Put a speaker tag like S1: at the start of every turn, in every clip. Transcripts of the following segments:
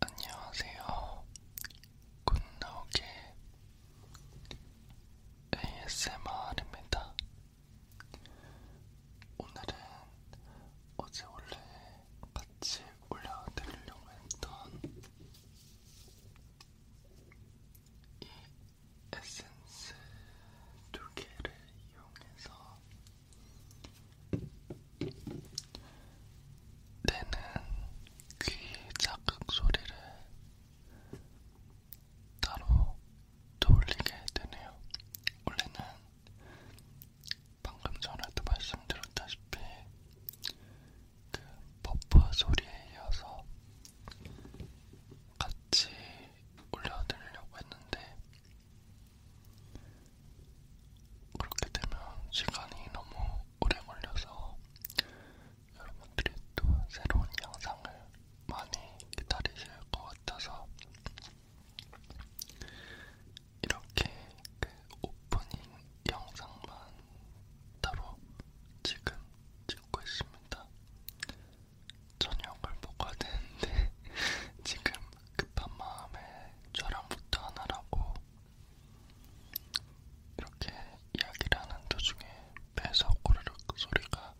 S1: 안녕하세요. 굿나오게 ASMR입니다. 오늘은 어제 원래 같이 올려드리려고 했던 이 에센스 두 개를 이용해서 내는 귀 자극 소리를 따로 돌리게 되네요. 원래는 방금 전에도 말씀드렸다시피 그 버프 소리에 이어서 같이 올려드리려고 했는데 그렇게 되면 시간이 너무 오래 걸려서 여러분들이 또 새로운 영상을 많이 기다리실 것 같아서 이렇게 그 오프닝 영상만 따로 지금 찍고 있습니다. 저녁을 먹어야 되는데 지금 급한 마음에 저랑부터 하나라고 이렇게 이야기를 하는 도중에 배에서 꼬르륵 소리가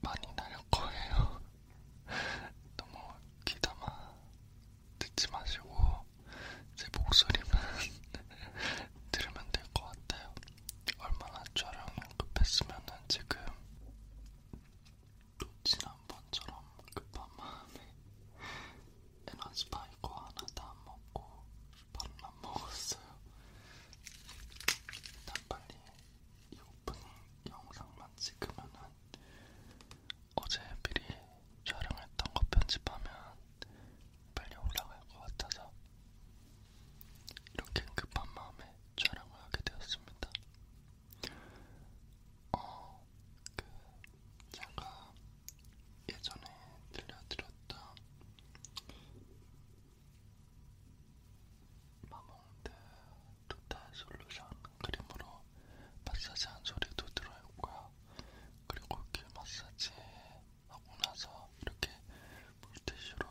S1: 많이 날 거예요. 너무 귀담아 듣지 마시고 제 목소리만 들으면 될 것 같아요. 얼마나 촬영 급했으면 지금 또 지난번처럼 급한 마음에 에너지 바이거 하나도 안 먹고 밥만 먹었어요. 난 빨리 이 오프닝 영상만 찍으면은 어제 미리 촬영했던 거 편집하면 빨리 올라갈 것 같아서 이렇게 급한 마음에 촬영을 하게 되었습니다. 어, 그 제가 예전에 들려드렸던 마몽드 토탈 솔루션 크림으로 마사지한 소리도 들어있고요. 그리고 귀 그 마사지에 하고 나서 이렇게 물티슈로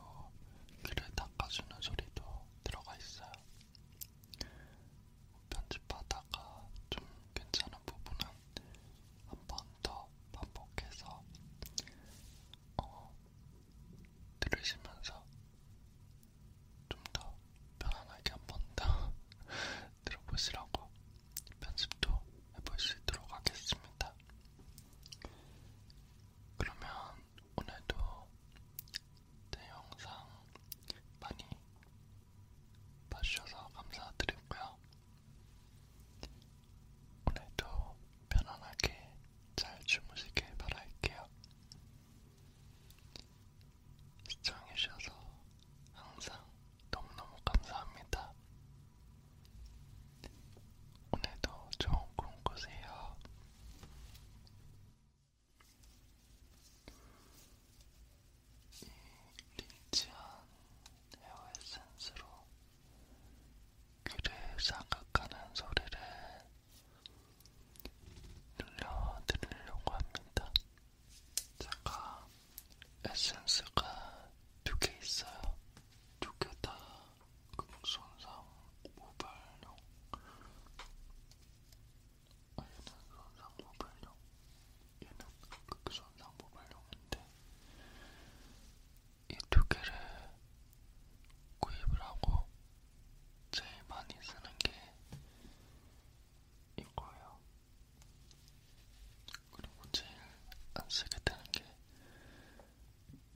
S1: 귀를 닦아주는 소리도 들어가 있어요. 편집하다가 좀 괜찮은 부분은 한 번 더 반복해서 어, 들으시면서 좀 더 편안하게 한 번 더 들어보시라고 편집도 해볼 수 있도록 하겠습니다. 그러면 오늘도 제 영상 많이 봐주셔서 감사드리고요. 오늘도 편안하게 잘 주무시길 바랄게요. 시청해주셔서 항상 너무너무 감사합니다. 오늘도 좋은 꿈 꾸세요. 이 리치한 헤어 에센스로 귀를 사각하는 소리를 들려드리려고 합니다. 잠깐 에센스가 두 개 있어요. 두 개다 금손상 모발용. 아, 얘는 손상 모발용. 얘는 금손상 모발용인데 이 두 개를 구입을 하고 제일 많이 쓰는 게 이거예요. 그리고 제일 안 쓰게 되는 게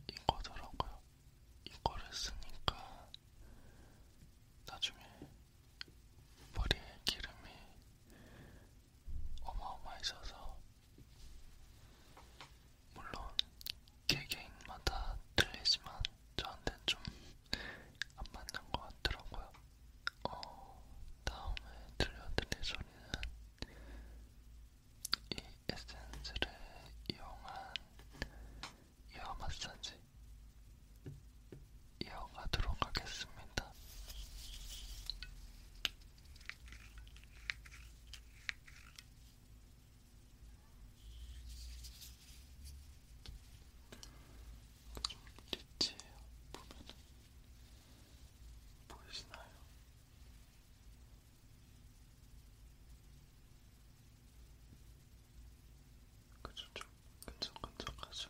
S1: 이거더라고요. 이거를 쓰니까 나중에 머리에 기름이 어마어마히 져서 물론 개개인마다 틀리지만 저한테 좀 안 맞는 것 같더라고요. 어, 다음에 들려드릴 소리는 이 에센스를 이용한 이어 마사지 이어가도록 하겠습니다. 좀 리치해요. 보면은 보이시나요? 그죠 좀 끈적끈적하죠.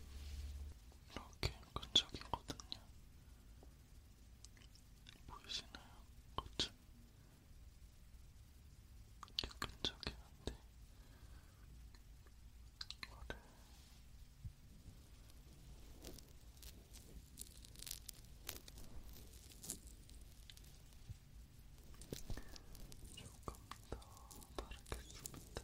S1: 이렇게 끈적이거든요. 보이시나요? 그쵸? 이렇게 끈적이는데 이거를 조금 더 바르겠습니다.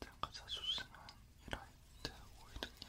S1: 당가자 조심은 이라이트 오일은요.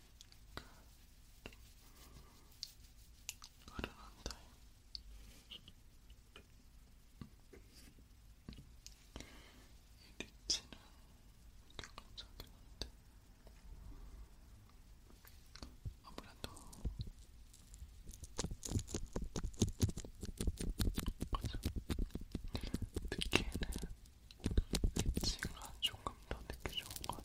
S1: 흐르는 타임 이 리치는 격한적인 한데 아무래도 맞아. 듣기에는 엣지가 조금 더 느껴 좋은 것 같아.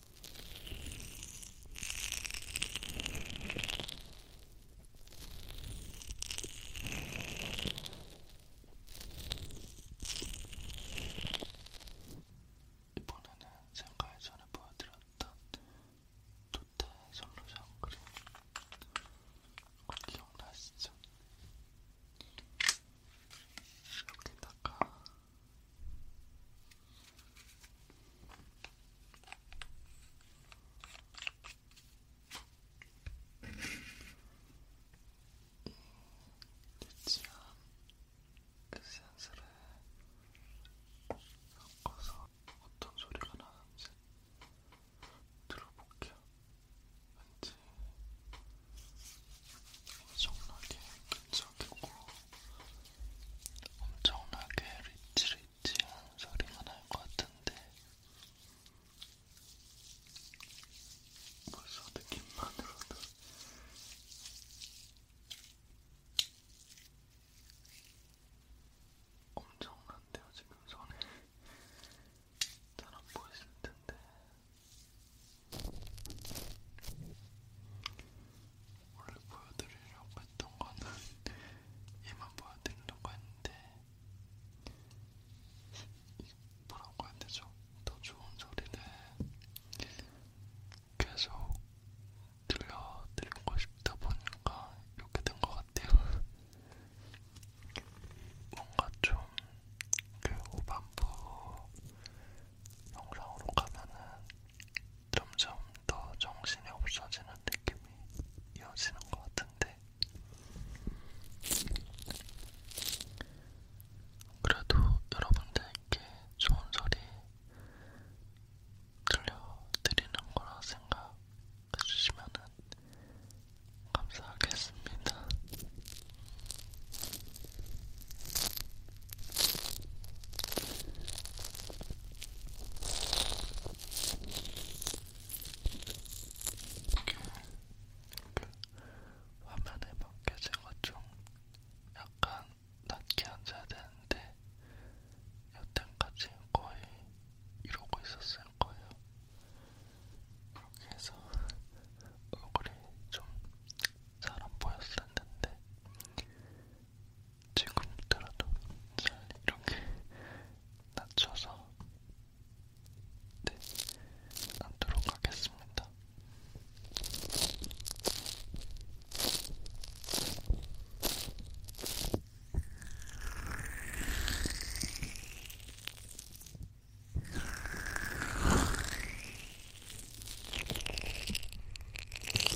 S1: 이번에는 제가 예전에 보여드렸던 도태 솔루션 크림 기억나시죠? 여기다가 유치한 그 에센스를 섞어서 어떤 소리가 나는지 들어볼게요. 왠지 엄청나게 근처 가격으로 엄청나게 리치리치한 소리가 날것 같은데 벌써 느낌만으로도 엄청난데요 지금 손에 잘 안 보이실 텐데 원래 보여드리려고 했던 거는 얘만 보여드리려고 했는데 뭐라고 해야 되죠? 더 좋은 소리를 계속 들려드리고 싶다 보니까 이렇게 된 것 같아요. 뭔가 좀그 후반부 영상으로 가면은 점점 더 정신이 없어지는 느낌이 이어지는 것 같은데 그래도 여러분들께 좋은 소리 들려드리는 거라 생각해주시면 감사하겠습니다. 화면에 맞게 제가 좀 약간 낮게 앉아야 되는데 여태까지 거의 이러고 있었을 거예요. 그렇게 해서 얼굴이 좀 잘 안 보였을 텐데 지금부터라도 잘 이렇게 낮춰서 네, 앉도록 하겠습니다.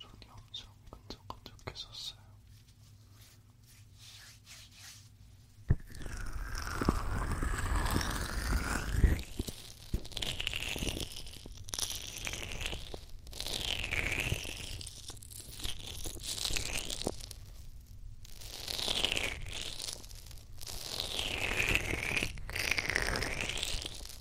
S1: 손이 엄청 끈적끈적했었어요.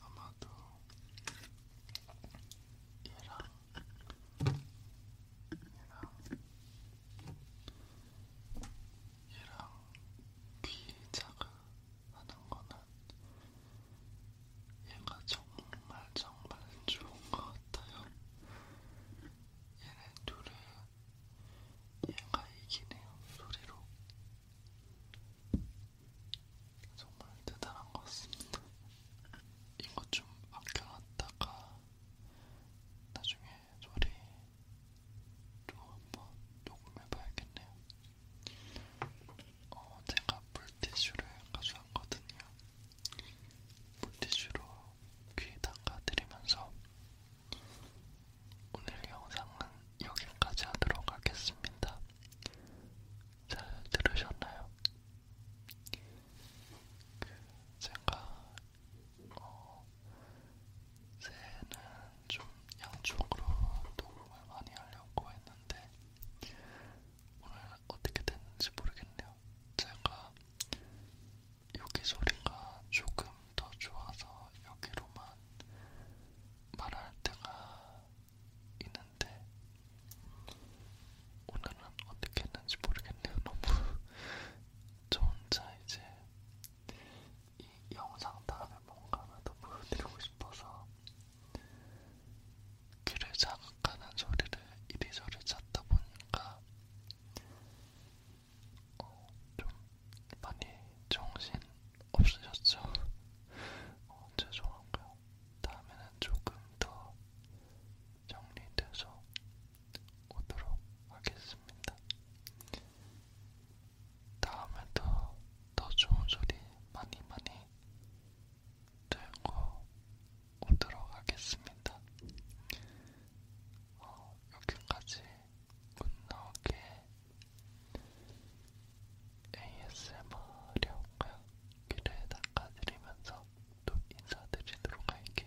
S1: 아마도 얘랑 얘랑 얘랑 귀 자극하는 거는 얘가 정말 정말 좋은 것 같아요. 얘네 둘을 얘가 이기네요 소리로. 정말 대단한 것 같습니다. 이거 좀 아껴놨다가 나중에 소리 좀 한번 녹음해봐야겠네요. 어, 제가 물티슈를 가져왔거든요. 물티슈로 귀 닦아드리면서 오늘 영상은 여기까지 하도록 하겠습니다. 잘 들으셨나요? 그 제가 어, 새해는 좀 양쪽으로 도움을 많이 하려고 했는데 오늘 어떻게 됐는지 모르겠네요. 제가 여기 소리가 조금 더 좋아서 여기로만 말할 때가 있는데 오늘은 어떻게 했는지 모르겠네요. 너무 저 혼자 이제 이 영상 다음에 뭔가 하나 더 보여드리고 싶어서 귀를 자극하는 소리를 이리저리 찾다 보니까 어, 좀 많이 정신 없으셨죠? 어, 죄송한가요? 다음에는 조금 더 정리돼서 오도록 하겠습니다. 다음에도 더 좋은 소리 많이 많이 들고 오도록 하겠습니다. 어, 여기까지 굿나오게 ASMR력과 귀를 닦아드리면서 또 인사드리도록 할게요.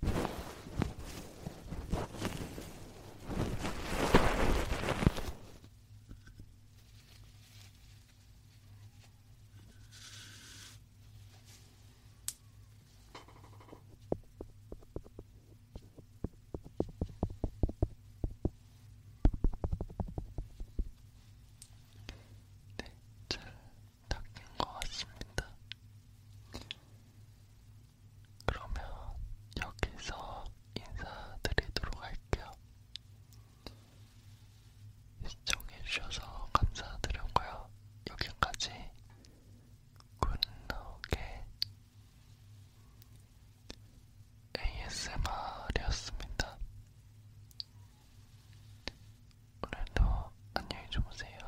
S1: 네, 잘 닦인 것 같습니다. 그러면 여기서 인사드리도록 할게요. 시청해주셔서 감사드렸고요. 여기까지 굿노게 ASMR이었습니다. 오늘도 안녕히 주무세요.